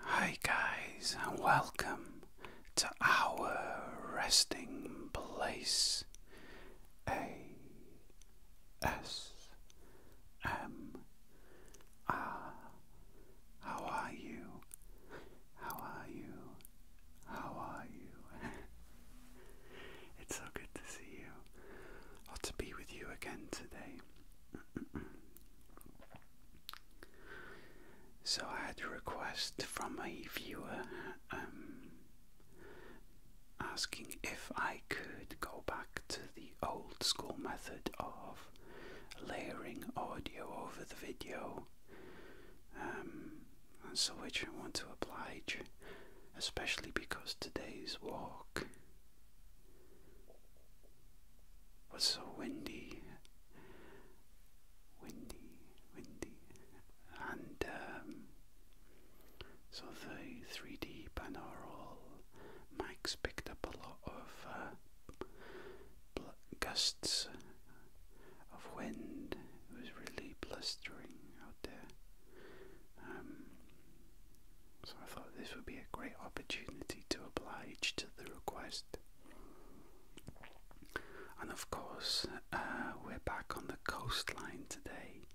Hi, guys, and welcome to our resting place A S M R. How are you? How are you? How are you? it's so good to see you or to be with you again today. So I had a request from a viewer um, asking if I could go back to the old school method of layering audio over the video. Um, and so which I want to oblige, especially because today's walk was so windy, windy, windy, and um, so the three D binaural mics picked up a lot of uh, gusts of wind. It was really blustering out there. Um, so I thought this would be a great opportunity to oblige to the request. And of course, uh, we're back on the coastline today.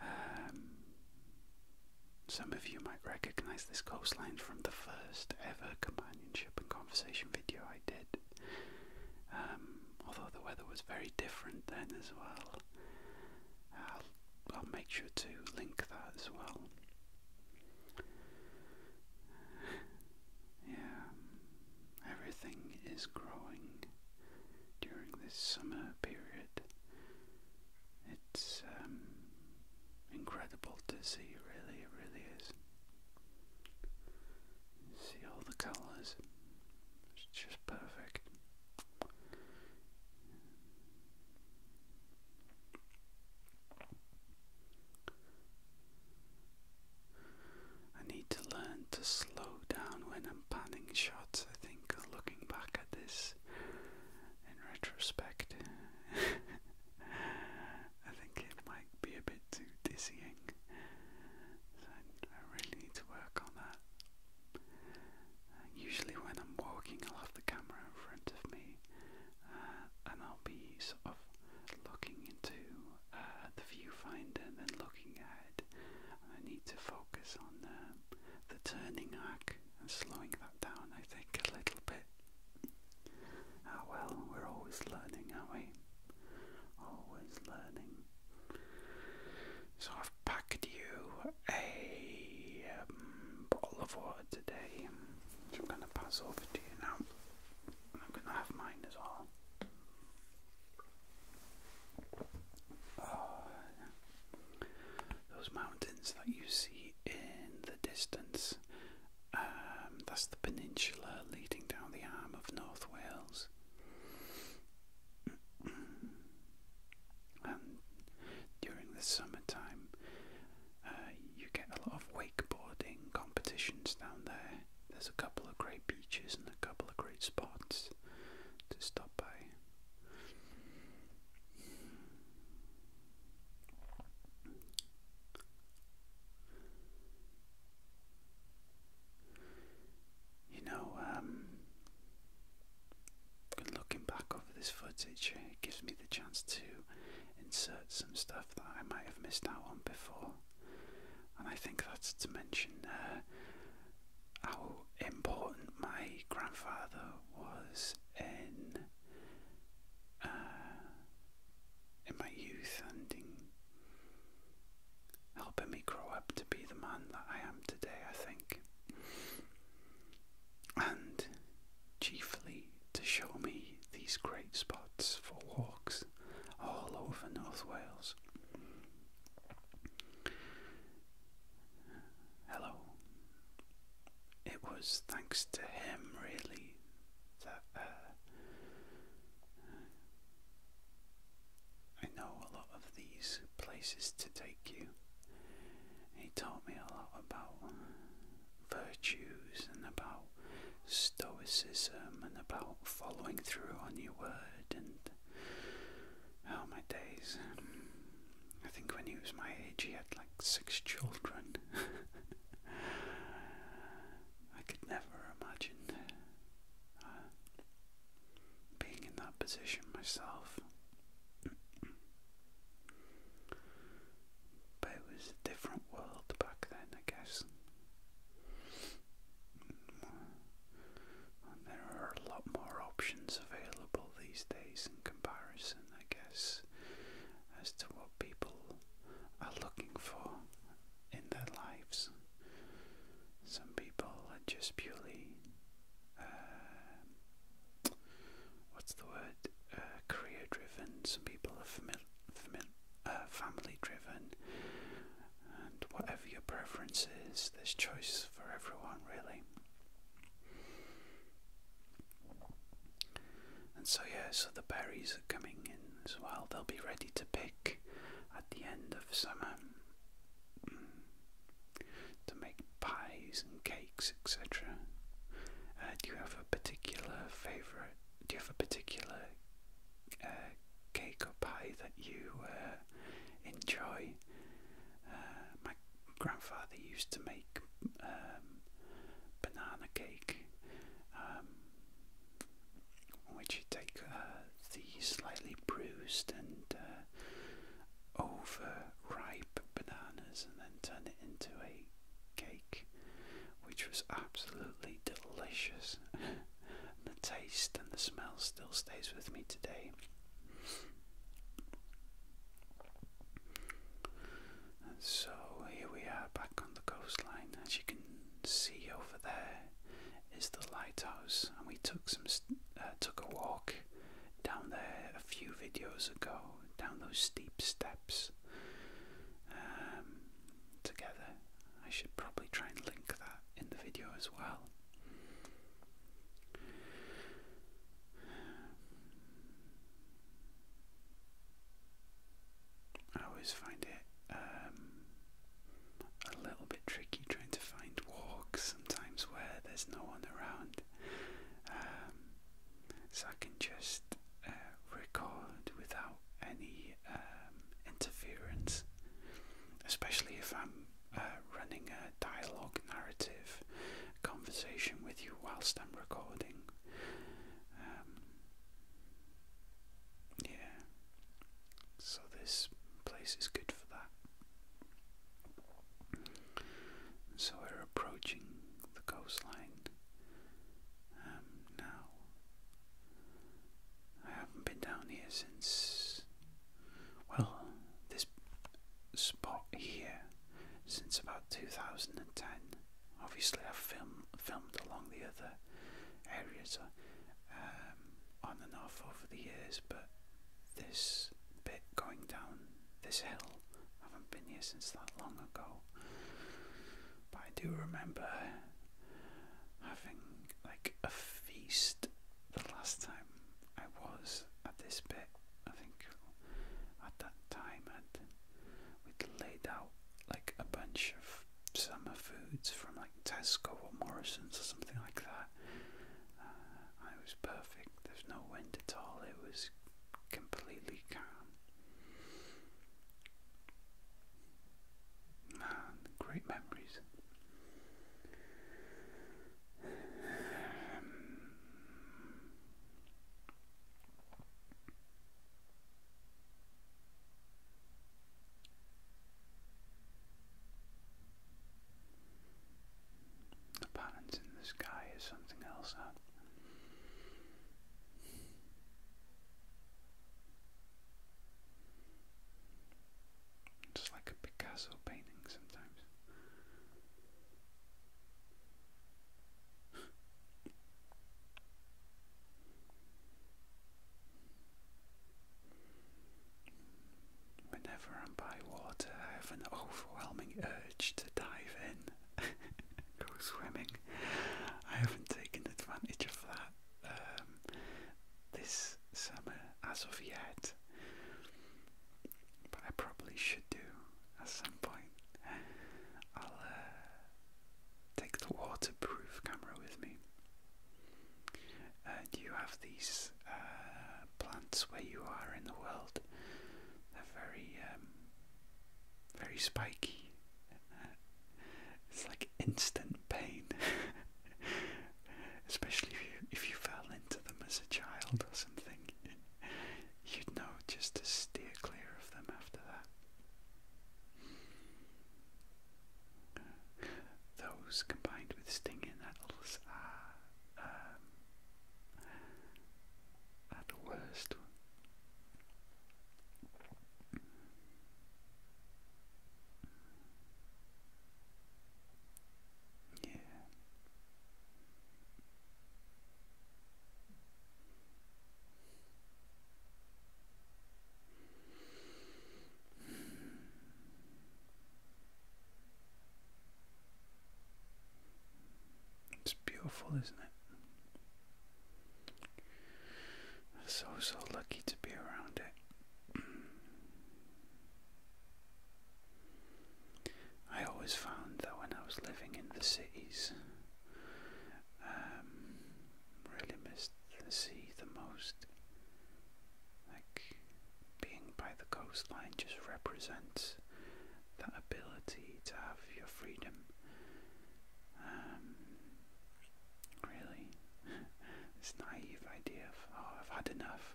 Um, some of you might recognize this coastline from the first ever companionship and conversation video I did. Um, although the weather was very different then as well. Uh, I'll make sure to link that as well. Yeah, everything is growing during this summer period. It's um, incredible to see, really, it really is. See all the colours, it's just perfect. I need to learn to slow down when I'm panning shots. I think looking back at this in retrospect, I think it might be a bit too dizzying. So I really need to work on that. Uh, usually, when I'm walking, I'll have the camera in front of me uh, and I'll be sort of looking into uh, the viewfinder and then looking ahead. I need to focus on um, the turning arc and slowing that down, I think, a little bit. Ah, well, we're always learning, aren't we? Always learning. So I've packed you a um, bottle of water today, I'm going to pass over to you now. I'm going to have mine as well. Ah, Those mountains that you see in the distance, um, that's the peninsula leading down the arm of North Wales and um, during the summertime, uh, you get a lot of wakeboarding competitions down there. There's a couple of great beaches and a couple of great spots to stop by. You know, um, looking back over this footage, it gives me the chance to insert some stuff that I might have missed out on before. And I think that's to mention uh, how important my grandfather was in uh, in my youth and in helping me grow up to be the man that I am today. I think and chiefly to show me these great spots for walks all over North Wales. Hello. It was thanks to him, really, that uh, I know a lot of these places to take you. He taught me a lot about virtues and about stoicism and about following through on your word and oh my days. I think when he was my age he had like six children. I could never imagine. Uh, being in that position myself. but it was a different world back then, I guess. And there are a lot more options available these days in comparison, I guess, as to what people are looking for in their lives. Some people are just purely uh, what's the word? Uh, career driven. Some people are famil famil uh, family driven, and whatever your preference is, there's choice for everyone, really. And so, yeah, so the berries are coming in as well. They'll be ready to pick at the end of summer. Mm to make pies and cakes, etc. Uh, do you have a particular favorite? Do you have a particular uh, cake or pie that you uh, enjoy? my grandfather used to make um, banana cake, um, which you take the slightly bruised and overripe bananas and then turn it into a cake, which was absolutely delicious. the taste and the smell still stays with me today. And so here we are back on the coastline. As you can see over there, is the lighthouse, and we took some uh, took a walk down there a few videos ago, down those steep steps um, together. I should probably try and link that in the video as well. I always find it um, a little bit tricky trying to find walks sometimes where there's no one around. Um, so I can just uh, record without any um, interference, especially if I'm uh, running a dialogue narrative conversation with you whilst I'm recording. Um, yeah, so this place is good for that. So we're approaching the coastline um, now. I haven't been down here since, well, this spot here since about 2010. Obviously, I've film, filmed along the other areas. Um, on and off over the years, but this bit going down this hill, I haven't been here since that long ago. But I do remember having like a feast the last time I was at this bit. I think at that time I'd, laid out like a bunch of summer foods from like Tesco or Morrison's or something like that. Uh, it was perfect. There's no wind at all. It was completely calm. Man, great memories. The patterns in the sky is something else that just like a Picasso painting sometimes. Whenever I'm by water, I have an overwhelming urge to dive in, go swimming. I haven't taken advantage of that um, this summer as of yet, but I probably should do at some point. I'll uh, take the waterproof camera with me. Uh, do you have these uh, plants where you are in the world. They're very, um, very spiky. It's like instant pain, especially if you, if you fell into them as a child or something. You'd know just to steer clear of them after that. Those combined with stinging nettles are ah, um, the worst. Yeah. It's beautiful, isn't it? So, so lucky to be around it. I always found that when I was living in the cities, um, really missed the sea the most. Like being by the coastline just represents that ability to have your freedom. Um, really, this naive idea of oh I've had enough.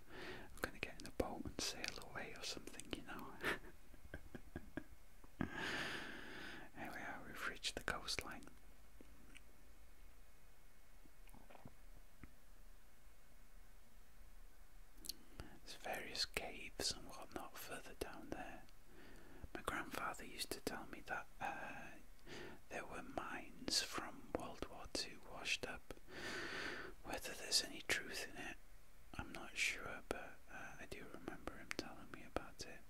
I'm gonna get in a boat and sail away or something, you know. Here we are, we've reached the coastline. There's various caves and whatnot further down there. My grandfather used to tell me that uh, there were mines from World War II washed up. Whether there's any truth in it, I'm not sure, but uh, I do remember him telling me about it.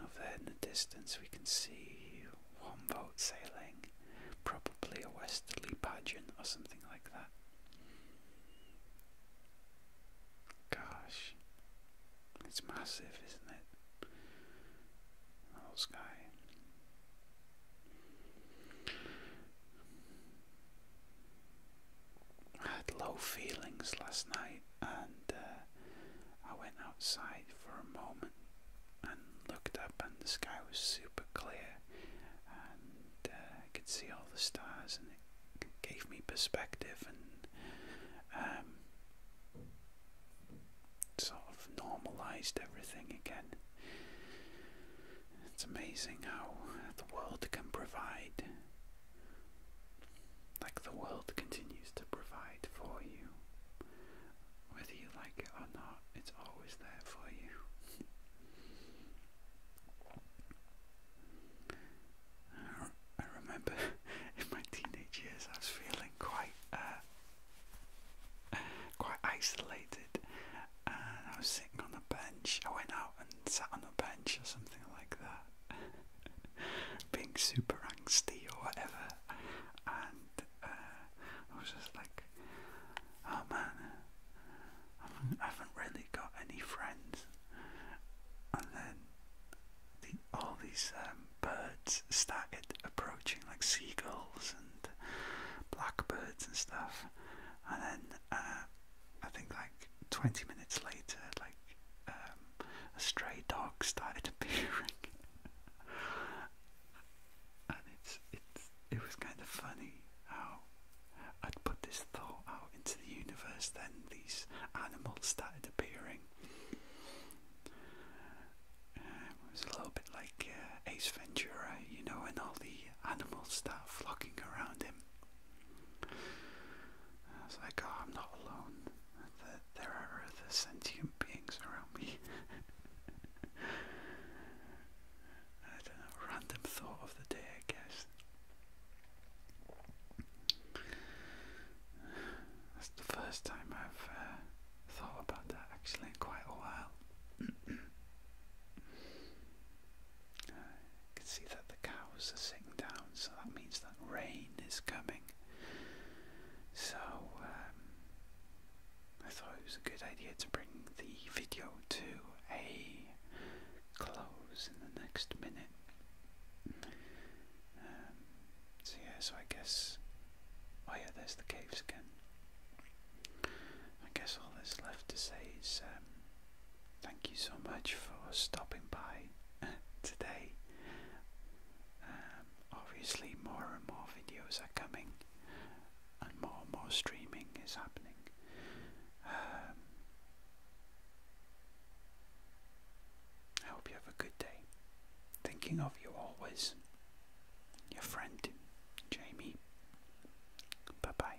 Over there in the distance we can see one boat sailing, probably a westerly pageant or something like that. Gosh, it's massive, isn't it? Oh, sky. I had low feelings last night and uh, I went outside for a moment and looked up and the sky was super clear and uh, I could see all the stars and it gave me perspective and um, sort of normalized everything again. It's amazing how the world can provide like the world continues to provide for you. Whether you like it or not, it's always there for you. I, remember in my teenage years I was feeling quite uh, quite isolated and I was sitting on a bench. I went out and sat on a bench or something like that being super angsty or whatever, and uh, I was just like, oh man, I haven't, really got any friends. And then all these um, birds started approaching, like seagulls and blackbirds and stuff. And then uh, I think like. 20 minutes later, like um, a stray dog started appearing, and it's it's it was kind of funny how I'd put this thought out into the universe, then these animals started appearing. Um, it was a little bit like uh, Ace Ventura, you know, and all the animals start flocking around him. I was like, oh, I'm not alone. That there are other sentient beings around me. I don't know, random thought of the day, I guess. That's the first time I've uh, thought about that actually in quite a while. you can see that the cows are sitting down, so that means that rain is coming. So um, I thought it was a good idea to bring the video to a close in the next minute. Um, so yeah, so I guess. Oh yeah, there's the caves again. I guess all that's left to say is um, thank you so much for stopping by uh, today. Um, obviously, more and more videos are coming, and more and more streaming is happening. Um, I hope you have a good day. Thinking of you always, your friend Jamie. Bye bye.